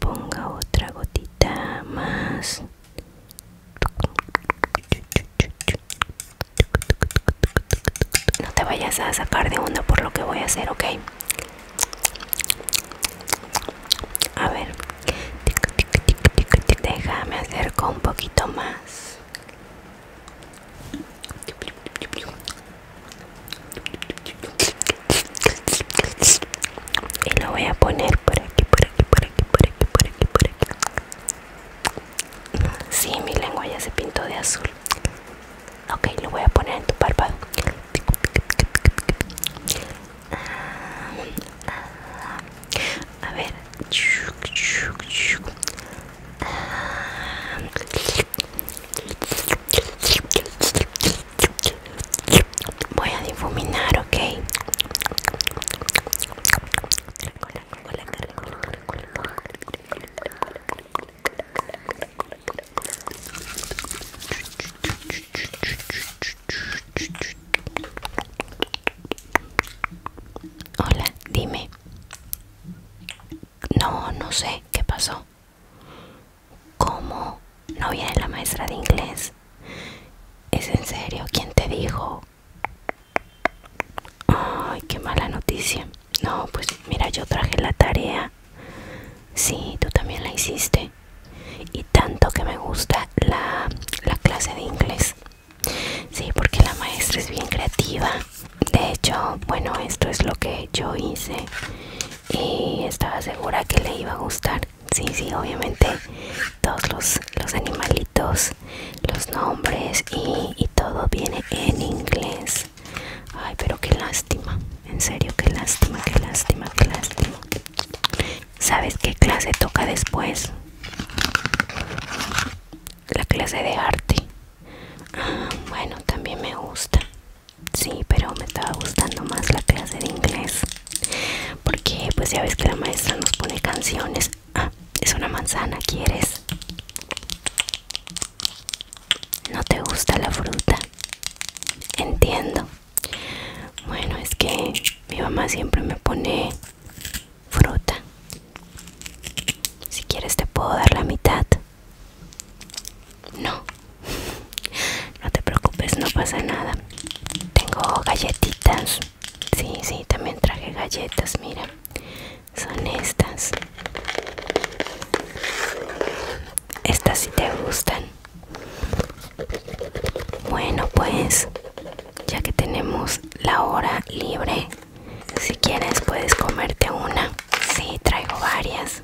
ponga otra gotita más no te vayas a sacar de onda por lo que voy a hacer ok a ver déjame acercar un poquito más y lo voy a poner por aquí por aquí por aquí por aquí por aquí por aquí sí mi lengua ya se pintó de azul ok lo voy a poner en tu párpado ah, ah, a ver ah, Voy a difuminar, ok. Hola, dime. No, no sé qué pasó como ¿No viene la maestra de inglés? ¿Es en serio? quien te dijo? Ay, qué mala noticia. No, pues mira, yo traje la tarea. Sí, tú también la hiciste. Y tanto que me gusta la, clase de inglés. Sí, porque la maestra es bien creativa. De hecho, bueno, esto es lo que yo hice y eh, estaba segura que le iba a gustar. Sí, sí, obviamente todos los, animalitos, los nombres y, todo viene en inglés. Ay, pero qué lástima. En serio, qué lástima, qué lástima, qué lástima. ¿Sabes qué clase toca después? La clase de arte. Ah, bueno, también me gusta. Sí, pero me estaba gustando más la clase de inglés. Porque pues ya ves que la maestra nos pone canciones. Ah, es una manzana, ¿quieres? No te gusta la fruta. Entiendo. Bueno, es que mi mamá siempre me pone fruta. Si quieres te puedo dar la mitad. No, no te preocupes, no pasa nada. Tengo galletitas. Sí, sí, también traje galletas, mira. Son estas. Estas si te gustan. Bueno, pues ya que tenemos la hora libre, si quieres puedes comerte una. Sí, traigo varias.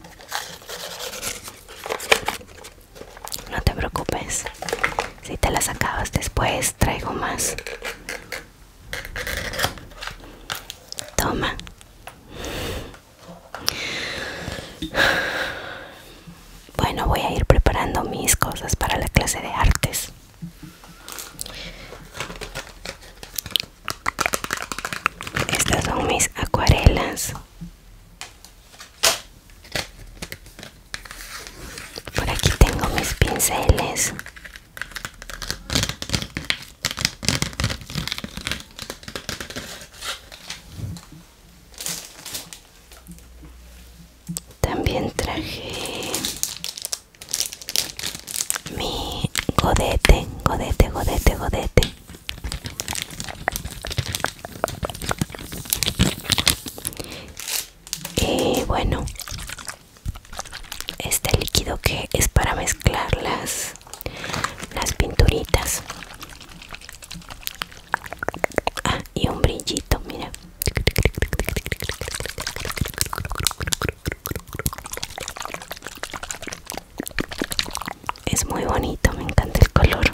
No te preocupes. Si te las acabas después, traigo más. Toma. Bueno, voy a ir preparando mis cosas para la clase de artes. Estas son mis acuarelas por aquí tengo mis pinceles. También traje mi godete, godete, godete, godete y eh, bueno este líquido que es para mezclar las pinturitas ah, y un brillito mira es muy bonito, me encanta el color.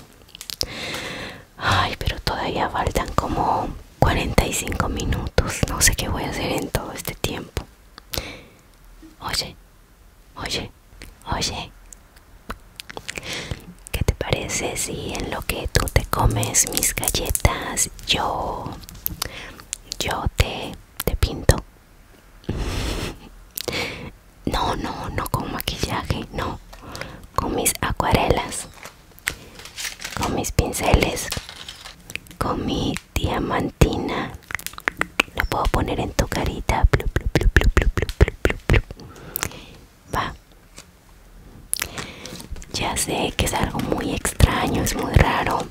Ay, pero todavía faltan como 45 minutos. No sé qué voy a hacer en todo este tiempo. Oye, oye, oye. ¿Qué te parece si en lo que tú te comes mis galletas, yo, yo te, te pinto? No, no, no con maquillaje, no. Con mis acuarelas, con mis pinceles, con mi diamantina. Lo puedo poner en tu carita. Va. Ya sé que es algo muy extraño, es muy raro,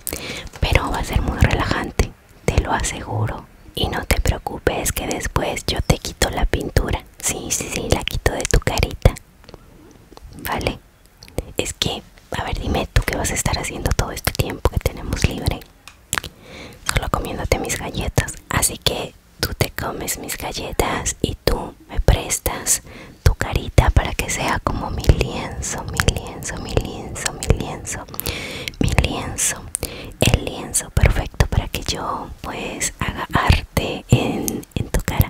pero va a ser muy relajante te lo aseguro. Y no te preocupes que después yo te quito la pintura. Sí, sí, sí, la quito de tu carita. Vale. Es que, a ver, dime tú qué vas a estar haciendo todo este tiempo que tenemos libre. Solo comiéndote mis galletas. Así que tú te comes mis galletas y tú me prestas tu carita para que sea como mi lienzo, mi lienzo, mi lienzo, mi lienzo, mi lienzo, el lienzo perfecto para que yo pues haga arte en, en tu cara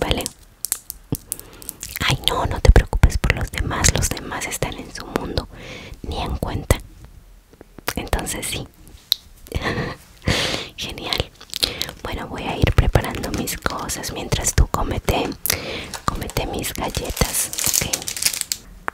vale ay no no te preocupes por los demás los demás están en su mundo ni en cuenta entonces sí genial bueno voy a ir preparando mis cosas mientras tú comete comete mis galletas ok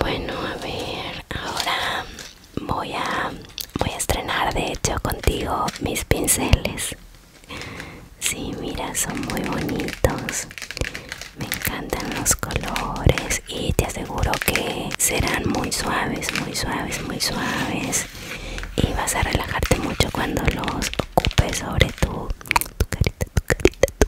Bueno, a ver, ahora voy a, voy a estrenar de hecho contigo mis pinceles. si mira, son muy bonitos. Me encantan los colores y te aseguro que serán muy suaves, muy suaves, muy suaves. Y vas a relajarte mucho cuando los ocupes sobre tu, tu carita, tu carita,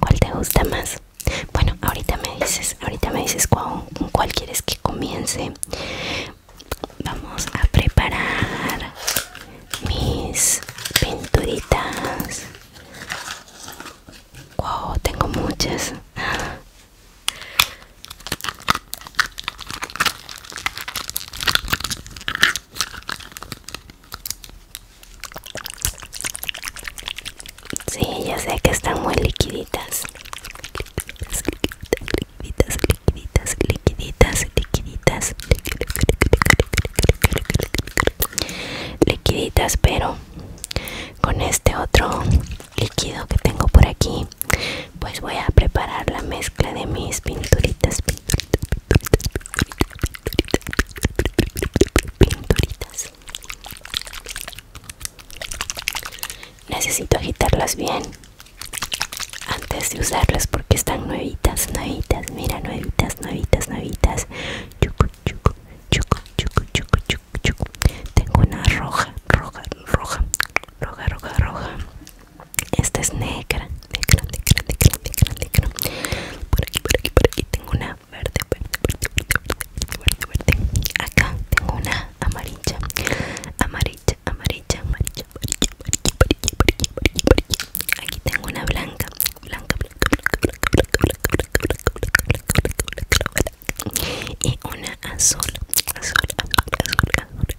¿Cuál te gusta más? Bueno, ahorita me dices, ahorita me dices cuál, cuál quieres que comience. Vamos a preparar mis pinturitas. Wow, tengo muchas. Sí, ya sé que están muy liquiditas. Liquiditas, liquiditas, liquiditas, liquiditas, liquiditas. Liquiditas, pero con este otro líquido que tengo por aquí, pues voy a preparar la mezcla de mis pinturitas, pinturitas, pinturitas, Necesito agitarlas bien antes de usarlas porque están nuevitas, nuevitas, mira, nuevitas, nuevitas, nuevitas. Chucu, chucu, chucu, chucu, chucu, chucu, Tengo una roja, roja, roja, roja, roja, roja. Esta es negra, negra, negra, negra, negra, negra. Por aquí, por aquí, por aquí tengo una verde, verde, verde, verde, Acá tengo una amarilla, amarilla, amarilla, amarilla, amarilla, amarilla, Aquí tengo una blanca, blanca, blanca, Y una azul,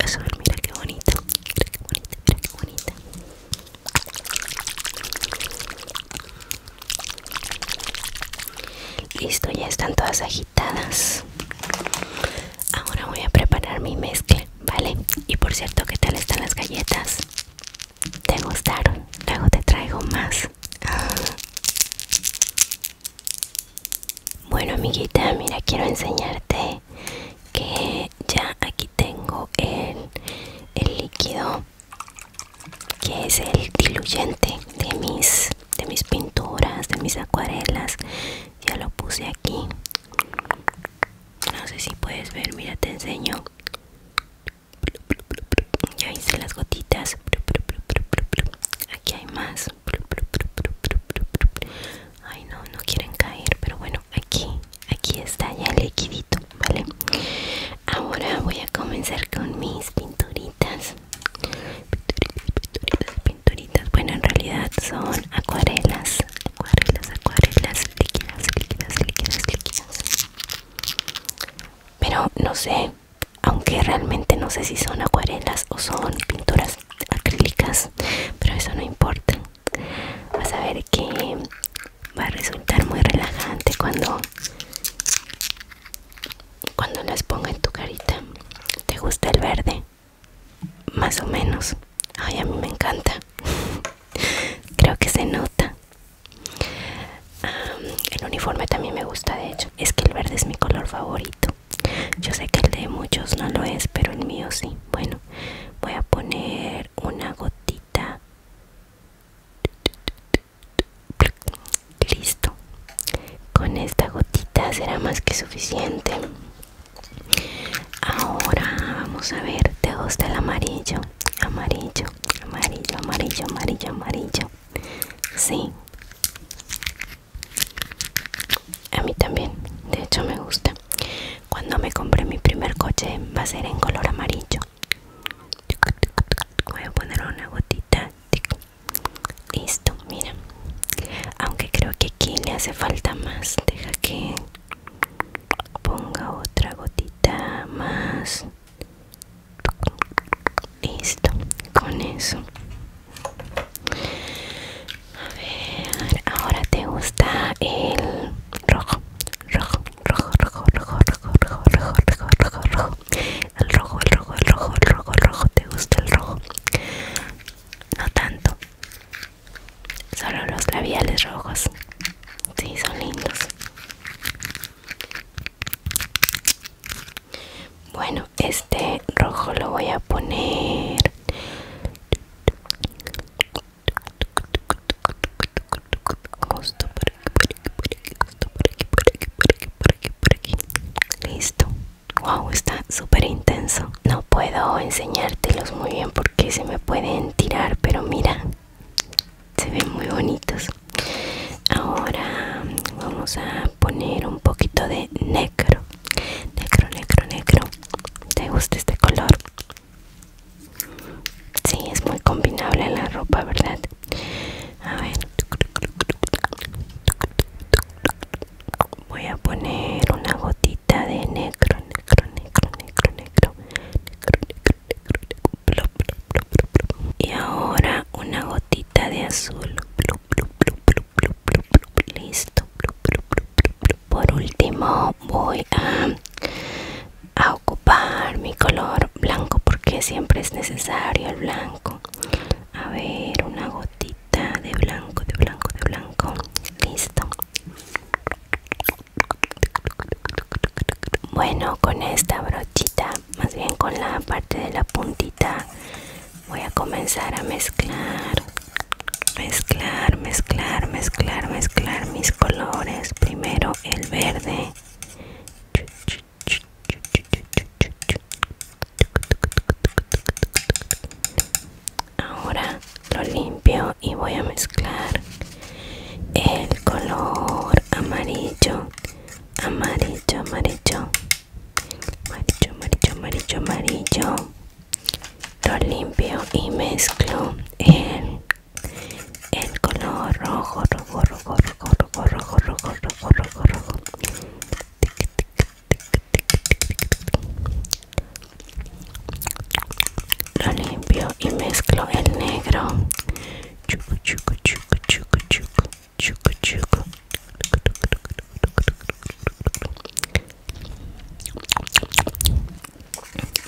azul, Mira qué bonito qué bonita. Listo, ya están todas agitadas. Ahora voy a preparar mi mezcla, ¿vale? Y por cierto, ¿qué tal están las galletas? ¿Te gustaron? Luego te traigo más. Ah. Bueno, amiguita, mira, quiero enseñarte que ya aquí tengo el líquido que es el diluyente de mis de mis pinturas de mis acuarelas ya lo puse aquí no sé si puedes ver mira te enseño ya hice las gotitas aquí hay más ay no no quieren caer pero bueno aquí aquí está ya el liquidito ¿vale? Ahora voy a comenzar con mis pinturitas. Pinturitas, pinturitas, pinturitas. Bueno, en realidad son acuarelas. Acuarelas, acuarelas, líquidas, líquidas, líquidas, líquidas. Pero no sé, aunque realmente no sé si son acuarelas o son pinturas acrílicas, pero eso no importa. Vas a ver que va a resultar muy relajante cuando cuando las ponga en tu carita te gusta el verde más o menos ay a mí me encanta creo que se nota el uniforme también me gusta de hecho es que el verde es mi color favorito yo sé que el de muchos no lo es pero el mío sí bueno voy a poner una gotita Listo. Con esta gotita será más que suficiente. Ahora vamos a ver ¿Te gusta el amarillo. Amarillo, amarillo, amarillo, amarillo, amarillo. Sí. A mí también. De hecho me gusta. Cuando me compré mi primer coche va a ser en color amarillo. Voy a poner una gotita. Listo, mira. Aunque creo que aquí le hace falta más. Deja que ponga otra gotita más. Listo, con eso. A ver, ahora te gusta el rojo, rojo, rojo, rojo, rojo, rojo, rojo, rojo, rojo, rojo, El rojo, el rojo, el rojo, el rojo, el rojo. ¿Te gusta el rojo? No tanto. Solo los labiales rojos. Sí, son lindos. Bueno, este rojo lo voy a poner aquí, Listo. Wow, está súper intenso. No puedo enseñártelos muy bien porque se me pueden tirar, pero mira, se ven muy bonitos. Ahora vamos a poner un poquito de negro. Negro, negro, negro. ¿Te gusta este color? Sí, es muy combinable la ropa, ¿verdad? A ver. Voy a poner una gotita de negro, negro, negro, negro, negro. Y ahora una gotita de azul. Listo. Por último voy a a ocupar mi color blanco porque siempre es necesario el blanco a ver una gotita de blanco de blanco de blanco listo bueno con esta brochita más bien con la parte de la puntita voy a comenzar a mezclar mezclar mezclar mezclar mezclar mis colores primero el verde Ahora lo limpio y voy a mezclar el color amarillo, amarillo, amarillo, amarillo, amarillo, amarillo, amarillo. Lo limpio y mezclo el el color rojo, rojo, rojo, rojo, rojo, rojo, rojo, rojo, rojo, rojo. Lo limpio y mezclo el negro. Chucu, chucu, chucu, chucu, chucu, chucu, chucu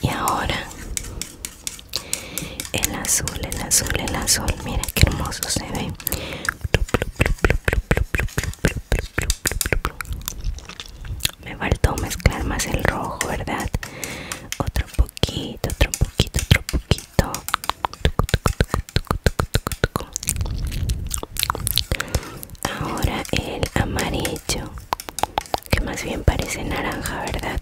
y ahora el azul el azul el azul mira qué hermoso se ve me faltó mezclar más el rojo verdad otro poquito otro poquito otro poquito ahora el amarillo que más bien parece naranja verdad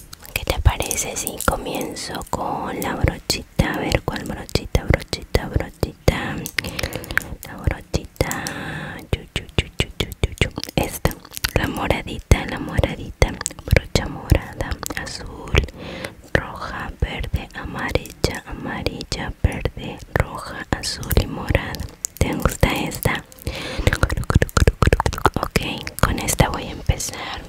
¿Qué te parece si comienzo con la brochita? A ver cuál brochita, brochita, brochita. La brochita. Esta, la moradita, la moradita. Brocha morada, azul, roja, verde, amarilla, amarilla, verde, roja, azul y morada. ¿Te gusta esta? Ok, con esta voy a empezar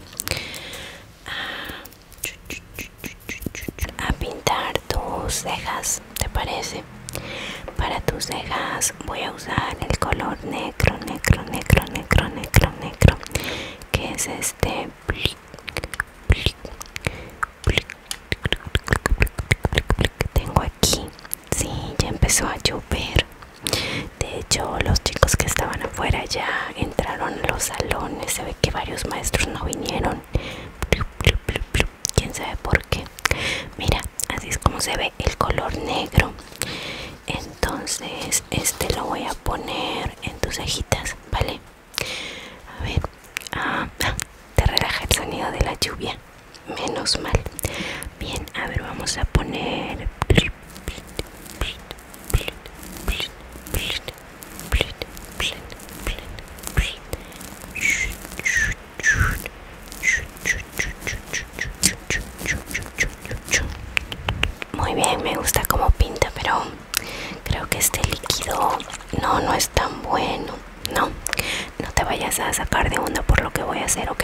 a, pintar tus cejas, ¿te parece? Para tus cejas voy a usar el color negro, negro, negro, negro, negro, negro, que es este. Tengo aquí, sí, ya empezó a llover. De hecho, los chicos que estaban afuera ya entraron a los salones. Se ve que varios maestros no vinieron. Quién sabe por qué. Mira, así es como se ve el color negro. Entonces, este lo voy a poner en tus cejitas, ¿vale? A ver, ah, ah, te relaja el sonido de la lluvia. Menos mal. Bien, a ver, vamos a poner. Muy bien, me gusta cómo pinta, pero creo que este líquido no, no es tan bueno. No, no te vayas a sacar de onda por lo que voy a hacer, ¿ok?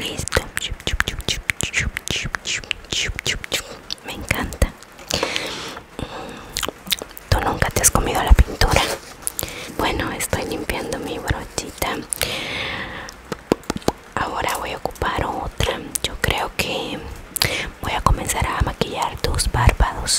Listo. Me encanta. Mm, ¿Tú nunca te has comido la pintura? Bueno, estoy limpiando mi brochita. Ahora voy a ocupar otra. Yo creo que voy a comenzar a maquillar tus párpados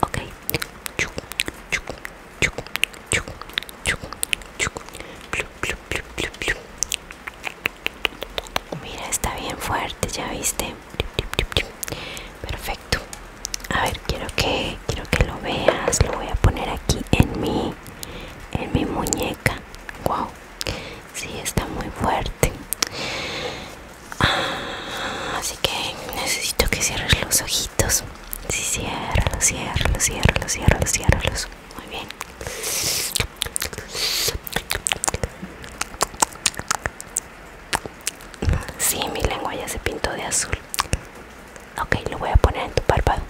Ok. Mira, está bien fuerte, ya viste. Perfecto. A ver, quiero que quiero que lo veas. Lo voy a poner aquí en mi en mi muñeca. Wow. Sí, está muy fuerte. Así que necesito que cierres los ojitos. Sí, ciérralos, ciérralos, ciérralos, ciérralos, ciérralos. Muy bien. Sí, mi lengua ya se pintó de azul. Ok, lo voy a poner en tu párpado.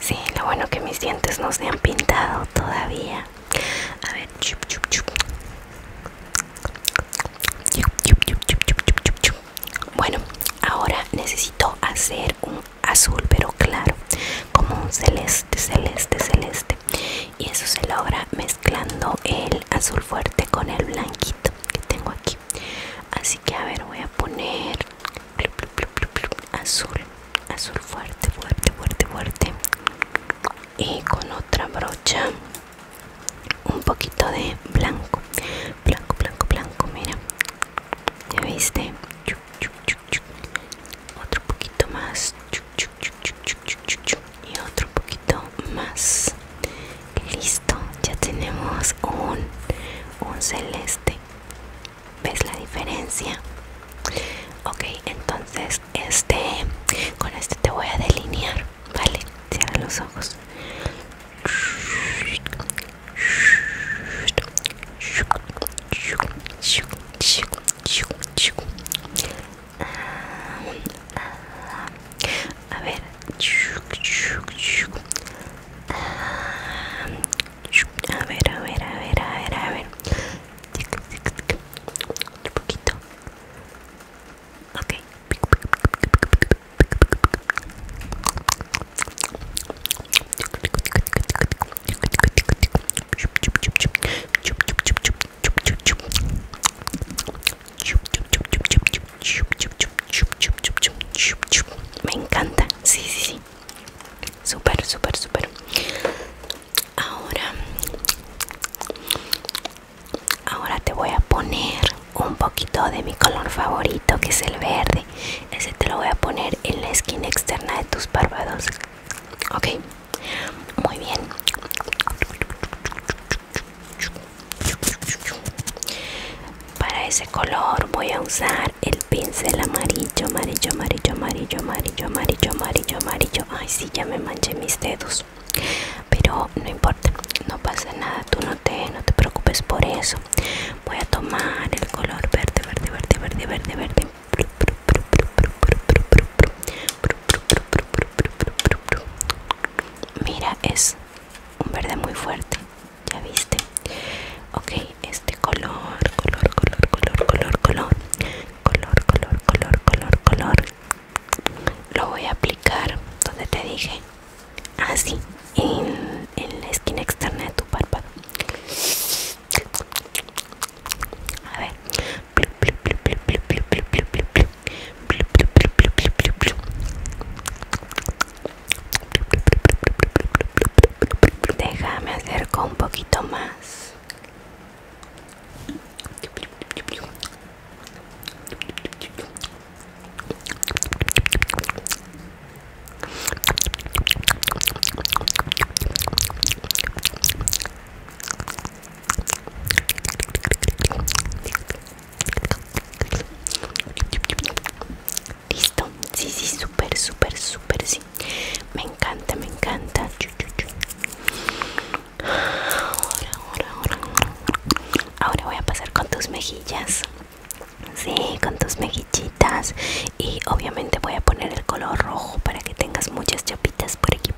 Sí, lo bueno que mis dientes no se han pintado todavía. A ver, Bueno, ahora necesito hacer un azul pero claro, como un celeste, celeste, celeste y eso se logra mezclando el azul fuerte con el blanquito que tengo aquí así que a ver voy a poner azul azul fuerte fuerte fuerte fuerte y con otra brocha un poquito de blanco blanco blanco blanco mira ya viste otro poquito más y otro poquito más listo ya tenemos un, un celeste ves la diferencia ok entonces este con este te voy a delinear vale cierra los ojos a ver a ver a ver a ver a ver a ver un poquito Okay. Me encanta, sí, sí, sí. Súper, súper, súper. Ahora, ahora te voy a poner un poquito de mi color favorito, que es el verde. Ese te lo voy a poner en la esquina externa de tus párpados. Ok. Muy bien. Para ese color voy a usar el pincel amarillo, amarillo, amarillo, amarillo, amarillo, amarillo, amarillo, amarillo. Ay, si ya me manché mis dedos. Pero no importa, no pasa nada, tú no te, no te preocupes por eso. Voy a tomar el color verde, verde, verde, verde, verde, verde. Mira, es un verde muy fuerte, ya viste. Ok, este color, color, color, color, color, color, color, color, color, color, color. Lo voy a aplicar donde te dije. Así, en, la esquina externa de tu párpado. A ver. Déjame acerco un poquito más. Listo, sí, sí, súper, súper, súper, sí. Me encanta, me encanta. Ahora, voy a pasar con tus mejillas. Sí, con tus mejillitas. Y obviamente voy a poner el color rojo para que tengas muchas chapitas por aquí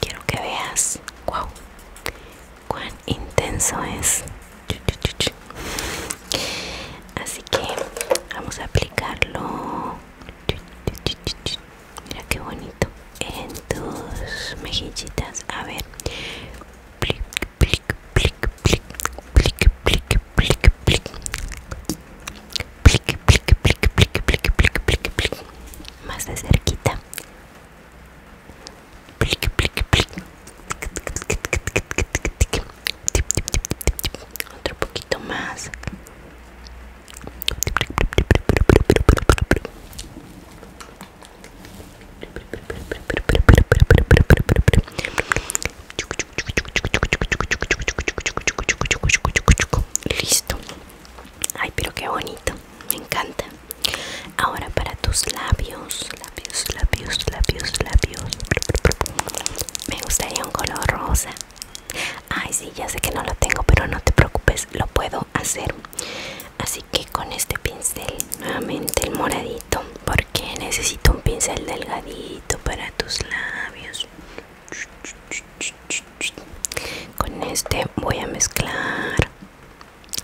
quiero que veas wow cuán intenso es así que vamos a aplicarlo mira qué bonito en tus mejillitas a ver plic, plic, plic, plic, plic, plic, plic, plic. Plic, plic, plic, plic, plic, plic, plic, plic. Más de cerquita. Otro poquito más. Listo. Ay, pero qué bonito me encanta. Ahora para tus labios, labios, labios, labios, labios. Me gustaría un color rosa. Ay, sí, ya sé que no lo tengo, pero no te preocupes, lo puedo hacer. Así que con este pincel, nuevamente el moradito, porque necesito un pincel delgadito para tus labios. Con este voy a mezclar.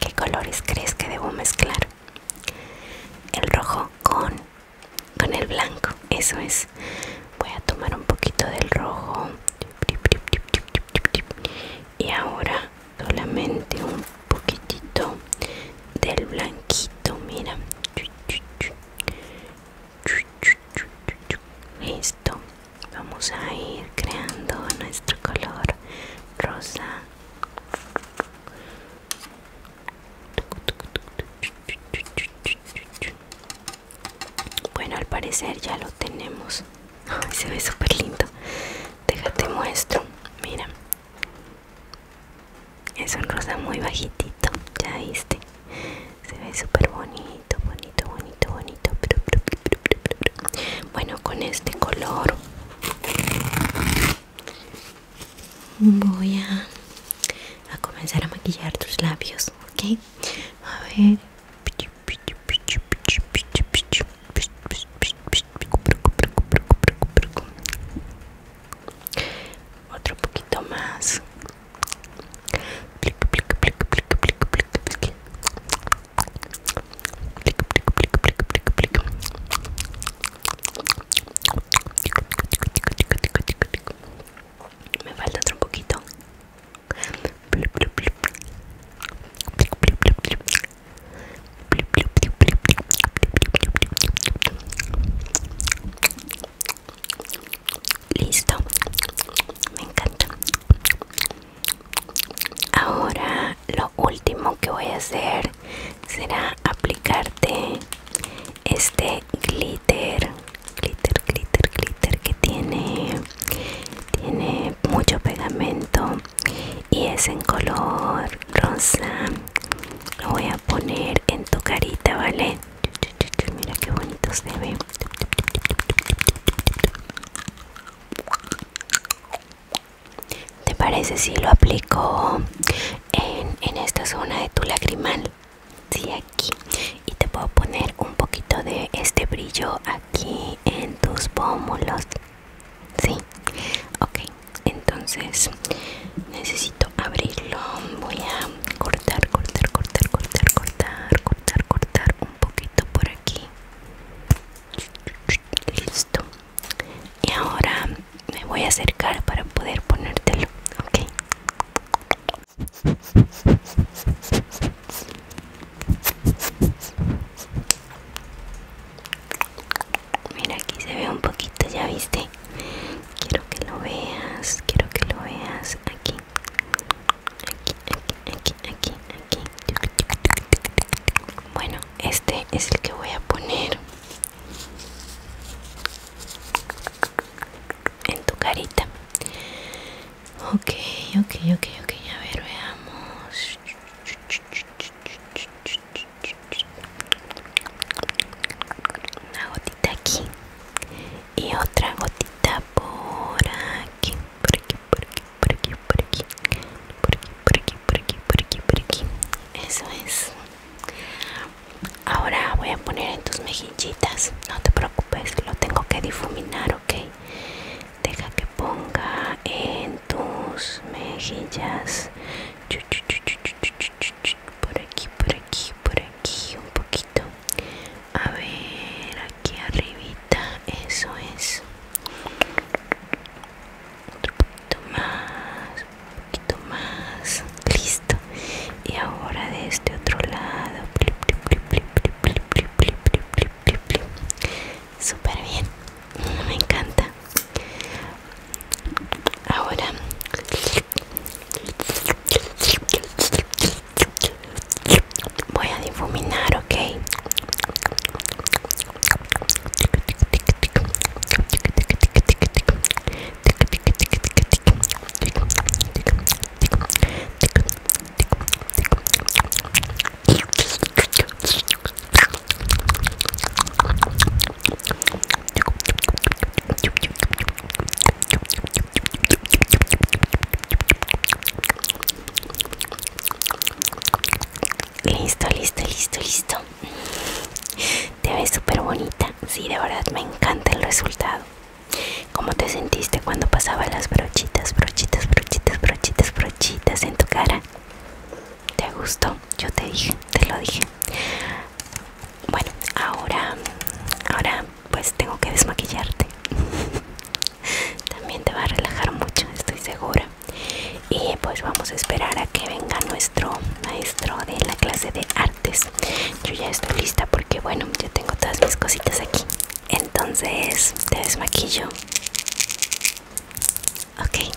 ¿Qué colores crees que debo mezclar? El rojo con, el blanco. Eso es. Voy a tomar un poquito del rojo. Y ahora solamente un poquitito del blanquito. Mira. Listo vamos a ir creando nuestro color rosa bueno al parecer ya lo tenemos se ve súper lindo déjate muestro mira es un rosa muy bajitito ya viste se ve súper bonito bonito bonito bonito, Bueno, con este color voy a, comenzar a maquillar tus labios, ¿ok? A ver. Otro poquito más. Me falta otro poquito. Listo, me encanta. Ahora lo último que voy a hacer será aplicarte este glitter, glitter, glitter, glitter que tiene tiene mucho pegamento y es en color rosa. Lo voy a poner en tu carita, ¿vale? Mira qué bonito se ve. ¿Te parece si lo aplico en, esta zona de tu lagrimal? Sí, aquí. Y te puedo poner un poquito de este brillo aquí en tus pómulos. Sí. Ok, entonces necesito abrirlo. Voy a cortar, cortar, cortar, cortar, cortar, cortar, cortar un poquito por aquí. Listo. Y ahora me voy a acercar para poder ponértelo, ¿ok? Mira, aquí se ve un poquito, ya viste. Quiero que lo veas, quiero que lo veas aquí aquí, aquí, aquí, aquí. Bueno, este es el que voy a poner en tu carita. Ok, ok, ok, ok. A ver, veamos. Una gotita aquí y otra gotita por aquí, por aquí, por aquí, por aquí, por aquí, por aquí, por aquí, por aquí, por aquí, por aquí. Eso es. Ahora voy a poner en tus mejillitas. No te preocupes, lo tengo que difuminar, ¿ok? Deja que ponga en tus mejillas. Por aquí, por aquí, por aquí, un poquito a ver aquí arribita eso es otro poquito más un poquito más listo y ahora de este otro lado super bien me encanta ahora voy a difuminar ok Listo, listo, listo, listo. Te ves súper bonita. Sí, de verdad me encanta el resultado. ¿Cómo te sentiste cuando pasaba las brochitas, brochitas, brochitas, brochitas, brochitas en tu cara? ¿Te gustó? Yo te dije, te lo dije. Bueno, ahora, ahora pues tengo que desmaquillarte también te va a relajar mucho estoy segura y pues vamos a esperar a que venga nuestro maestro de la clase de artes yo ya estoy lista porque bueno yo tengo todas mis cositas aquí entonces te desmaquillo ok